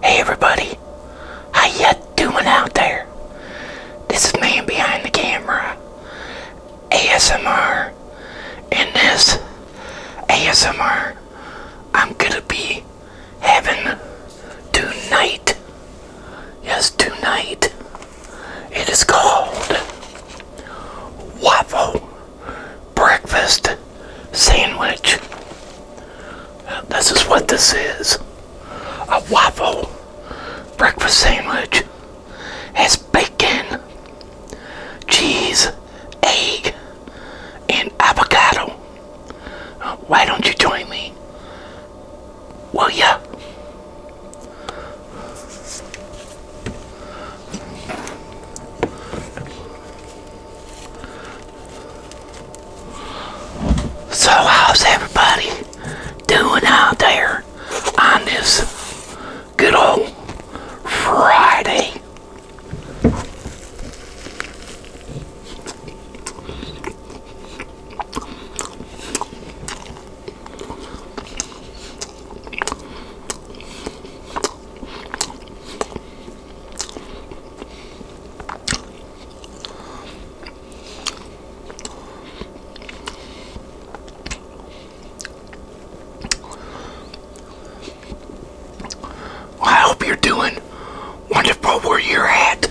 Hey everybody, how ya doing out there? This is man behind the camera, ASMR. And this ASMR, I'm gonna be having tonight. Yes, tonight. It is called waffle breakfast sandwich. This is what this is. A waffle breakfast sandwich has bacon, cheese, egg, and avocado. Why don't you join me? Will ya? So how's everybody doing out there on this good old Friday? I hope you're doing wonderful where you're at.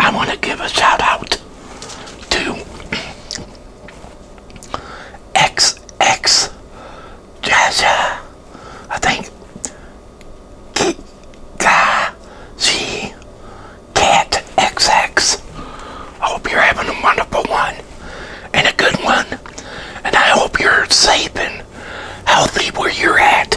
I want to give a shout out to X X Jaja, I think Kika G Cat XX. I hope you're having a wonderful one and a good one, and I hope you're safe and how healthy were you at.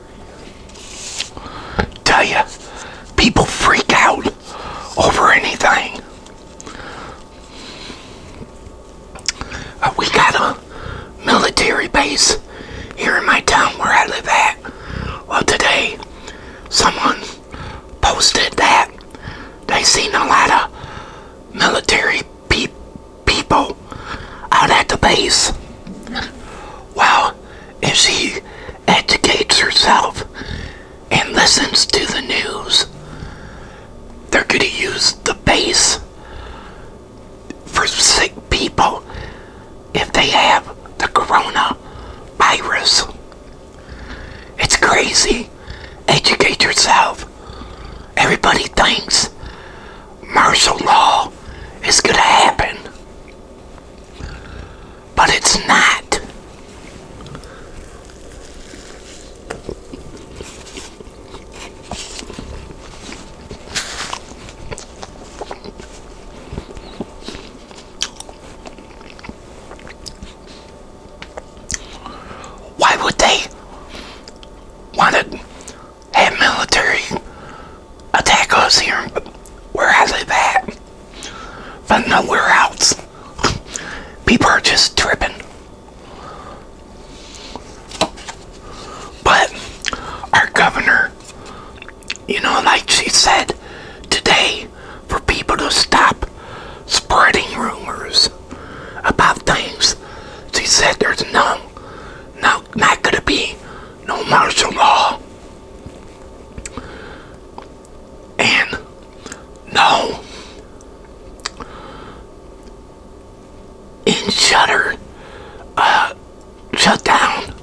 Tell you, people freak out over anything. Uh, we got a military base here in my town where I live at. Well, today, someone posted that they seen a lot of military pe people out at the base. Well, if she educates herself and listens to the news, they're going to use the base for sick people if they have the coronavirus. It's crazy. Educate yourself. Everybody thinks martial law is going to happen. But it's not. Why would they want to have military attack us here where are they at, but nowhere else. People are just tripping. But our governor, you know, like she said today, for people to stop spreading rumors about things, she said there's no, no, not gonna be no martial law and no, in shutter, uh, shut down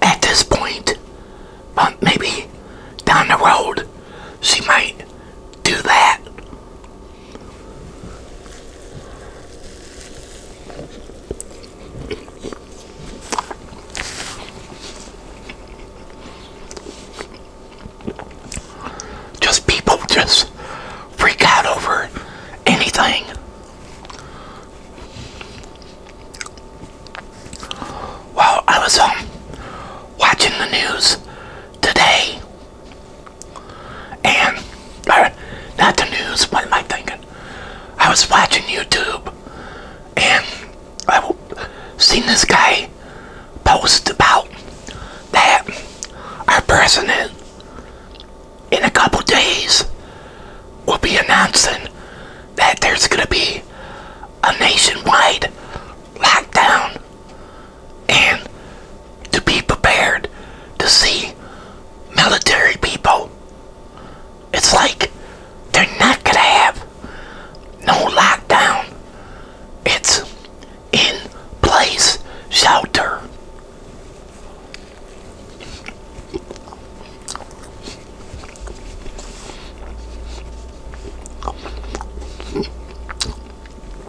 at this point, but uh, maybe down the road she might do that. Just people just freak out over anything. While I was on um, watching the news today, and, not the news, what am I thinking? I was watching YouTube and I seen this guy post about that our president in a couple days will be announcing that there's going to be a nationwide lockdown and to be prepared to see military people. It's like they're not going to have no lockdown. It's in place shelter.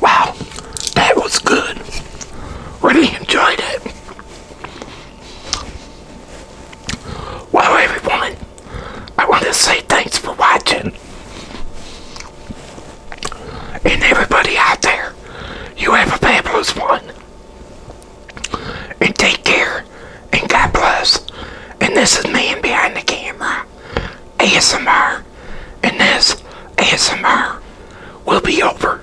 Wow, that was good. Really enjoyed it. Wow, everyone, I want to say thanks for watching. And everybody out there, you have a fabulous one. And take care, and God bless. And this is Man Behind the Camera, ASMR. And this ASMR will be over.